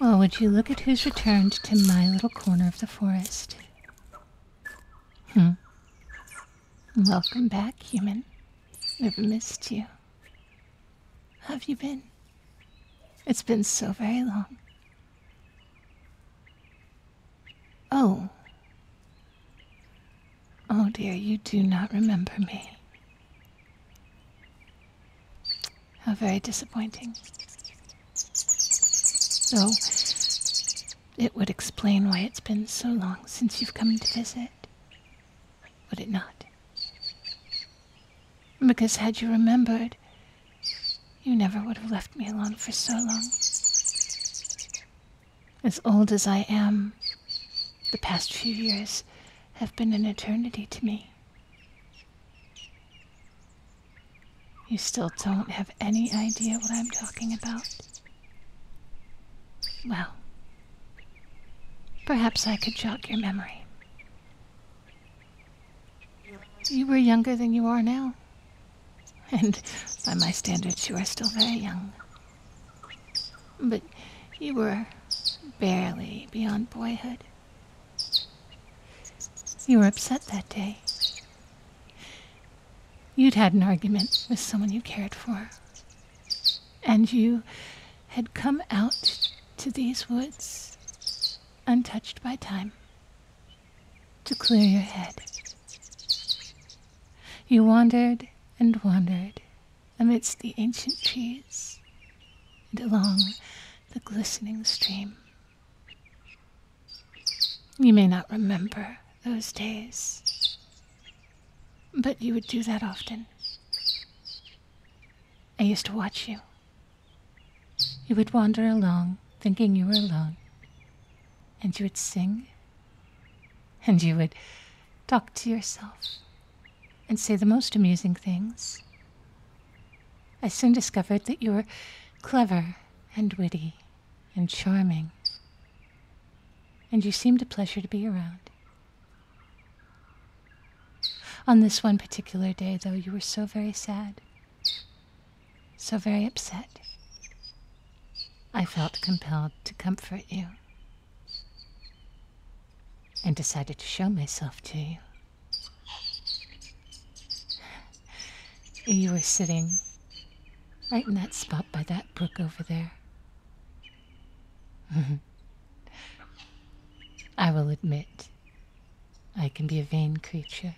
Well, would you look at who's returned to my little corner of the forest? Hmm. Welcome back, human. I've missed you. have you been? It's been so very long. Oh. Oh dear, you do not remember me. How very disappointing. Though it would explain why it's been so long since you've come to visit, would it not? Because had you remembered, you never would have left me alone for so long. As old as I am, the past few years have been an eternity to me. You still don't have any idea what I'm talking about? Well, perhaps I could jog your memory. You were younger than you are now. And by my standards, you are still very young. But you were barely beyond boyhood. You were upset that day. You'd had an argument with someone you cared for. And you had come out to these woods, untouched by time, to clear your head. You wandered and wandered amidst the ancient trees and along the glistening stream. You may not remember those days, but you would do that often. I used to watch you. You would wander along, thinking you were alone, and you would sing, and you would talk to yourself and say the most amusing things. I soon discovered that you were clever and witty and charming, and you seemed a pleasure to be around. On this one particular day, though, you were so very sad, so very upset. I felt compelled to comfort you and decided to show myself to you. You were sitting right in that spot by that brook over there. Mm-hmm. I will admit, I can be a vain creature.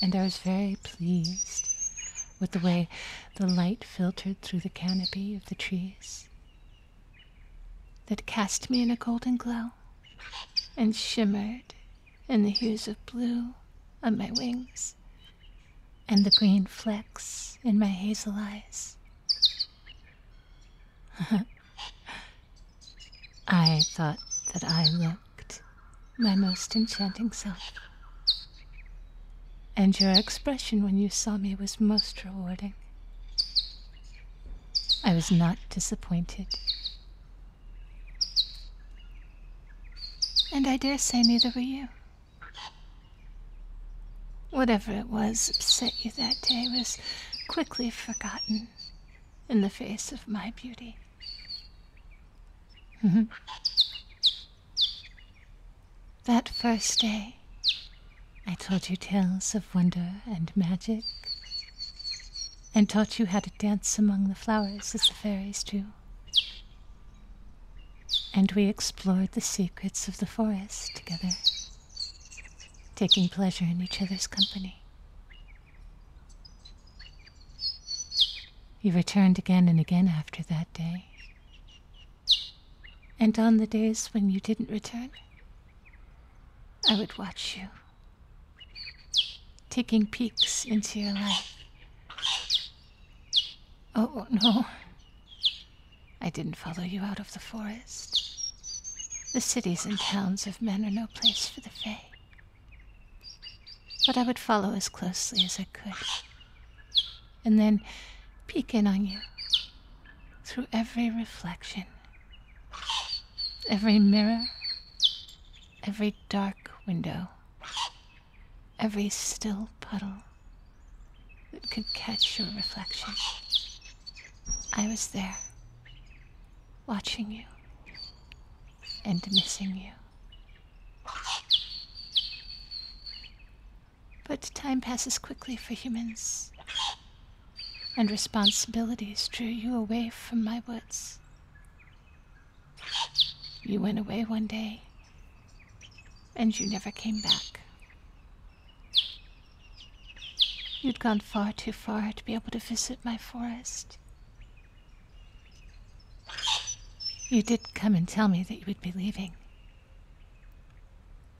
And I was very pleased with the way the light filtered through the canopy of the trees that cast me in a golden glow and shimmered in the hues of blue on my wings and the green flecks in my hazel eyes. I thought that I looked my most enchanting self. And your expression when you saw me was most rewarding. I was not disappointed. And I dare say neither were you. Whatever it was upset you that day was quickly forgotten in the face of my beauty. Mm-hmm. That first day, I told you tales of wonder and magic, and taught you how to dance among the flowers as the fairies do. And we explored the secrets of the forest together, taking pleasure in each other's company. You returned again and again after that day, and on the days when you didn't return, I would watch you, taking peeks into your life. Oh, oh, no. I didn't follow you out of the forest. The cities and towns of men are no place for the Fae. But I would follow as closely as I could, and then peek in on you through every reflection, every mirror, every dark window, every still puddle that could catch your reflection. I was there, watching you and missing you. But time passes quickly for humans, and responsibilities drew you away from my woods. You went away one day, and you never came back. You'd gone far too far to be able to visit my forest. You did come and tell me that you would be leaving.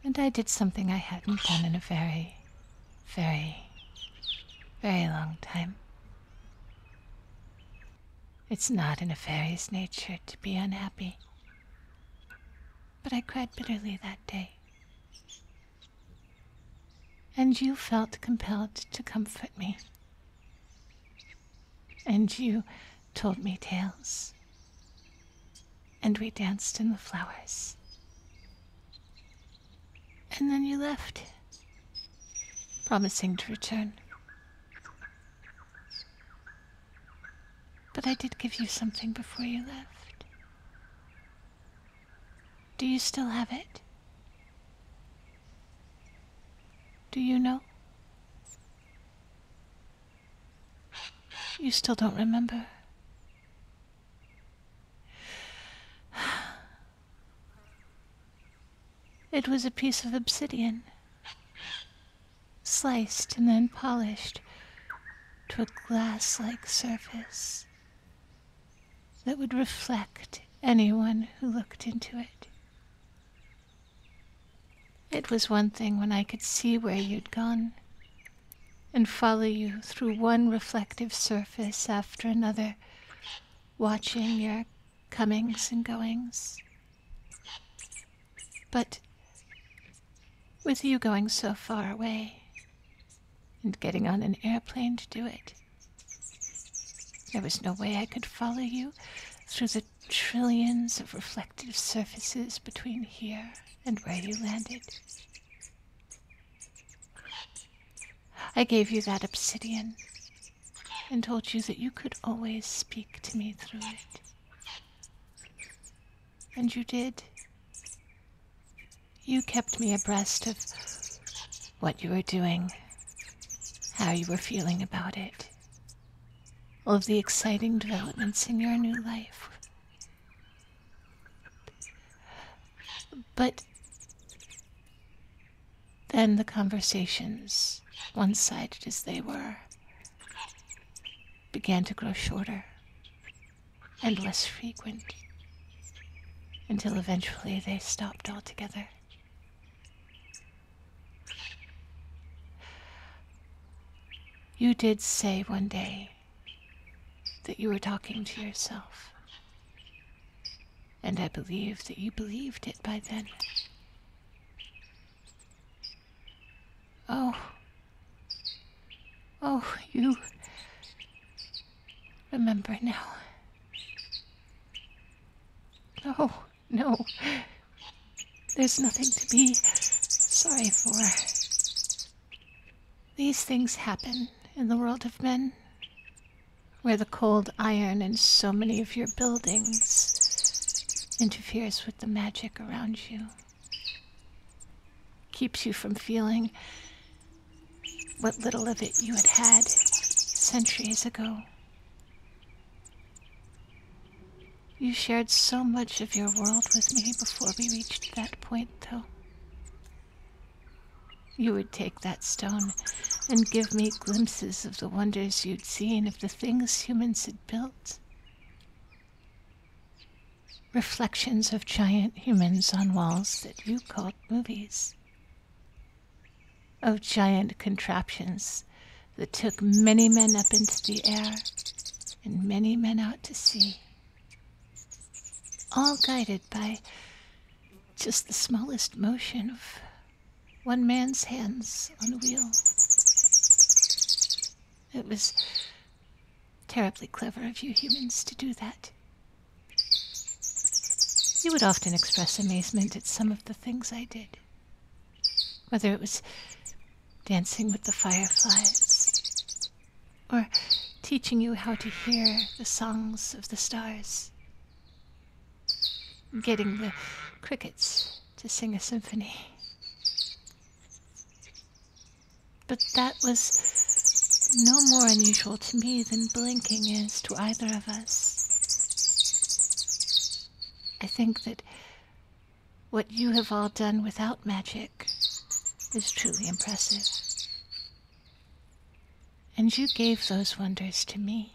And I did something I hadn't done in a very, very, very long time. It's not in a fairy's nature to be unhappy. But I cried bitterly that day. And you felt compelled to comfort me. And you told me tales and we danced in the flowers. And then you left, promising to return. But I did give you something before you left. Do you still have it? Do you know? You still don't remember? It was a piece of obsidian, sliced and then polished to a glass like surface that would reflect anyone who looked into it. It was one thing when I could see where you'd gone and follow you through one reflective surface after another, watching your comings and goings. But with you going so far away and getting on an airplane to do it, there was no way I could follow you through the trillions of reflective surfaces between here and where you landed. I gave you that obsidian and told you that you could always speak to me through it. And you did. You kept me abreast of what you were doing, how you were feeling about it, of the exciting developments in your new life. But then the conversations, one sided as they were, began to grow shorter and less frequent until eventually they stopped altogether. You did say one day that you were talking to yourself. And I believe that you believed it by then. Oh. Oh, you remember now. Oh. No. There's nothing to be sorry for. These things happen in the world of men, where the cold iron in so many of your buildings interferes with the magic around you, keeps you from feeling what little of it you had had centuries ago. You shared so much of your world with me before we reached that point, though. You would take that stone and give me glimpses of the wonders you'd seen of the things humans had built. Reflections of giant humans on walls that you called movies. Of giant contraptions that took many men up into the air and many men out to sea, all guided by just the smallest motion of one man's hands on a wheel. It was terribly clever of you humans to do that. You would often express amazement at some of the things I did. Whether it was dancing with the fireflies or teaching you how to hear the songs of the stars, getting the crickets to sing a symphony. But that was no more unusual to me than blinking is to either of us. I think that what you have all done without magic is truly impressive. And you gave those wonders to me.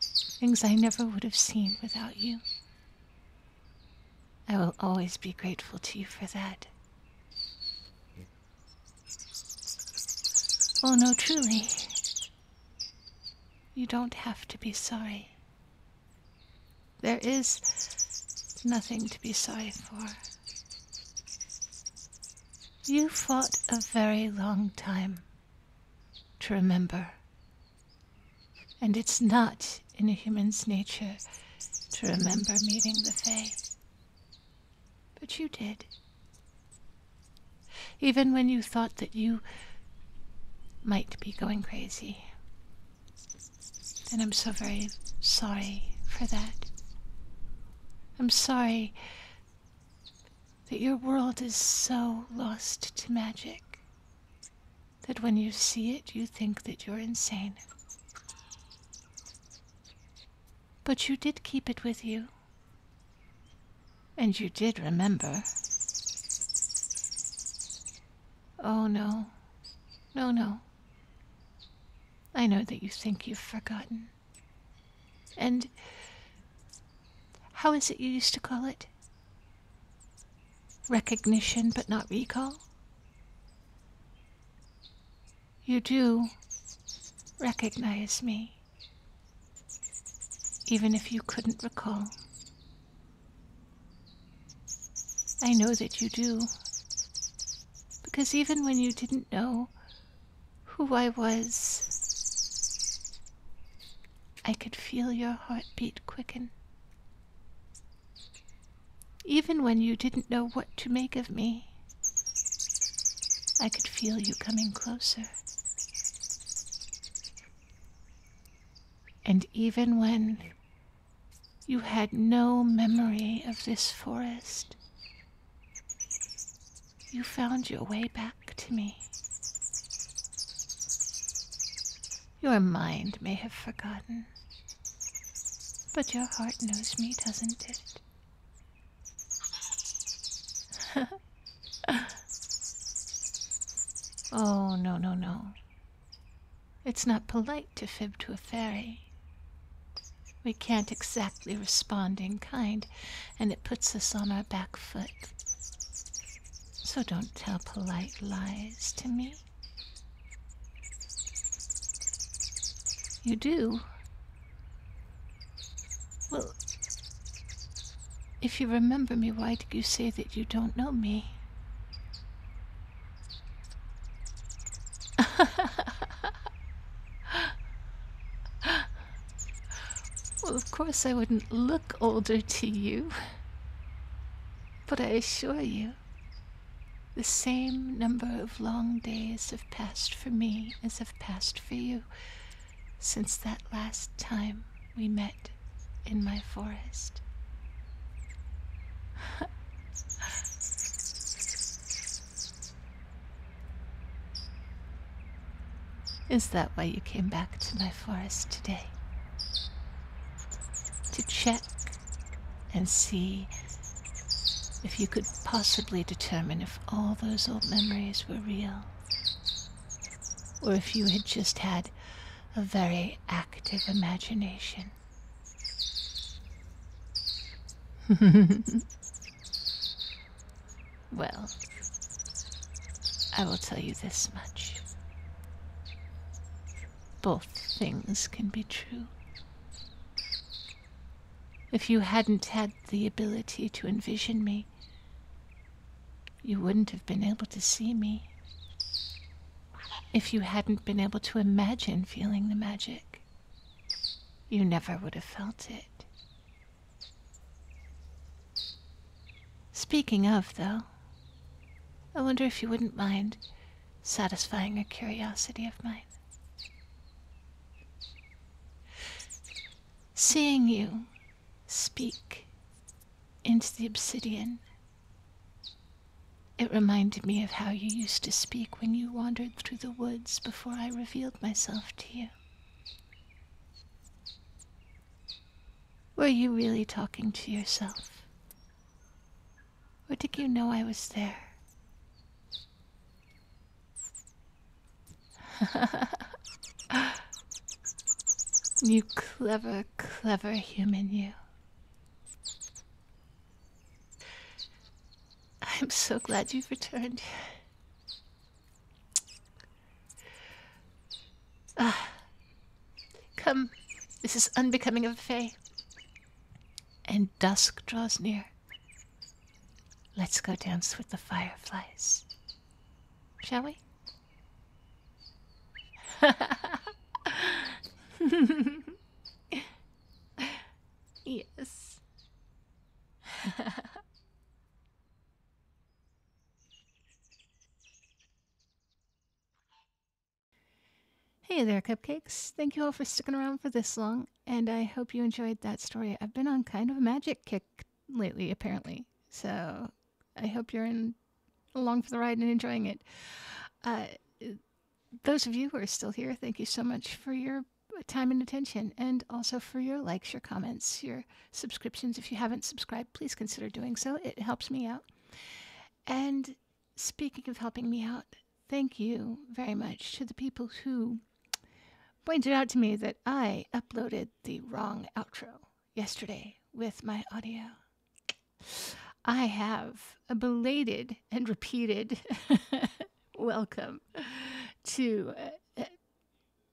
Things I never would have seen without you. I will always be grateful to you for that. Oh no, truly. You don't have to be sorry. There is nothing to be sorry for. You fought a very long time to remember. And it's not in a human's nature to remember meeting the Fae. But you did even when you thought that you might be going crazy. And I'm so very sorry for that. I'm sorry that your world is so lost to magic that when you see it, you think that you're insane. But you did keep it with you. And you did remember. Oh, no. No, no. I know that you think you've forgotten. And how is it you used to call it? Recognition but not recall? You do recognize me, even if you couldn't recall I know that you do. Because even when you didn't know who I was, I could feel your heartbeat quicken. Even when you didn't know what to make of me, I could feel you coming closer. And even when you had no memory of this forest, you found your way back to me. Your mind may have forgotten, but your heart knows me, doesn't it? Oh, no, no, no. It's not polite to fib to a fairy. We can't exactly respond in kind, and it puts us on our back foot. So don't tell polite lies to me. You do. Well, if you remember me, why did you say that you don't know me? well, of course I wouldn't look older to you. But I assure you, the same number of long days have passed for me as have passed for you since that last time we met in my forest. Is that why you came back to my forest today? To check and see if you could possibly determine if all those old memories were real or if you had just had a very active imagination. well, I will tell you this much. Both things can be true. If you hadn't had the ability to envision me, you wouldn't have been able to see me if you hadn't been able to imagine feeling the magic. You never would have felt it. Speaking of, though, I wonder if you wouldn't mind satisfying a curiosity of mine. Seeing you speak into the obsidian. It reminded me of how you used to speak when you wandered through the woods before I revealed myself to you. Were you really talking to yourself? Or did you know I was there? you clever, clever human, you. I'm so glad you've returned. Ah, come, this is unbecoming of a fay. And dusk draws near. Let's go dance with the fireflies. Shall we? yes. hey there, cupcakes. Thank you all for sticking around for this long, and I hope you enjoyed that story. I've been on kind of a magic kick lately, apparently. So I hope you're in along for the ride and enjoying it. Uh, those of you who are still here, thank you so much for your time and attention, and also for your likes, your comments, your subscriptions. If you haven't subscribed, please consider doing so. It helps me out. And speaking of helping me out, thank you very much to the people who pointed out to me that I uploaded the wrong outro yesterday with my audio. I have a belated and repeated welcome to uh,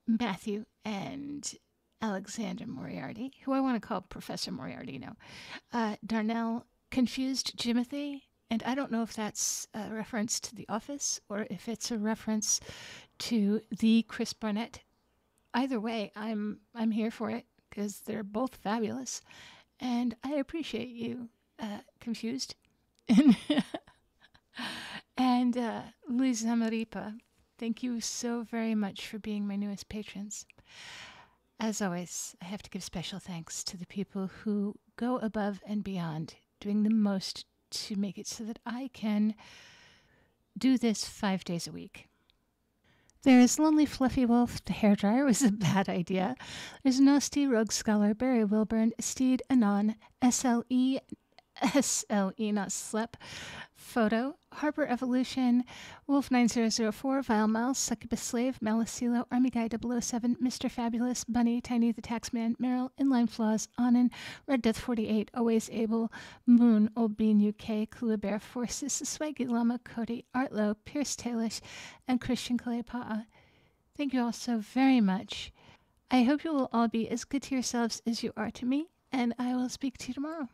Matthew and Alexander Moriarty, who I want to call Professor Moriarty now, uh, Darnell Confused Jimothy, and I don't know if that's a reference to The Office or if it's a reference to the Chris Barnett. Either way, I'm I'm here for it because they're both fabulous, and I appreciate you uh, confused. and uh, Luis Zamaripa, thank you so very much for being my newest patrons. As always, I have to give special thanks to the people who go above and beyond doing the most to make it so that I can do this five days a week. There's Lonely Fluffy Wolf, the hair dryer was a bad idea. There's Nasty Rogue Scholar, Barry Wilburn, Steed Anon, S L E S L E not Slep, Photo, Harbor Evolution, Wolf9004, Vile Miles, Succubus Slave, Malicilo, Army Guy 007, Mr. Fabulous, Bunny, Tiny the Taxman, Meryl, Inline Flaws, Charles Red Death 48, Always Abel, Moon, Old Bean UK, Kula Forces, Swaggy Lama, Cody, Artlow, Pierce Tailish, and Christian Kalepa'a. Thank you all so very much. I hope you will all be as good to yourselves as you are to me, and I will speak to you tomorrow.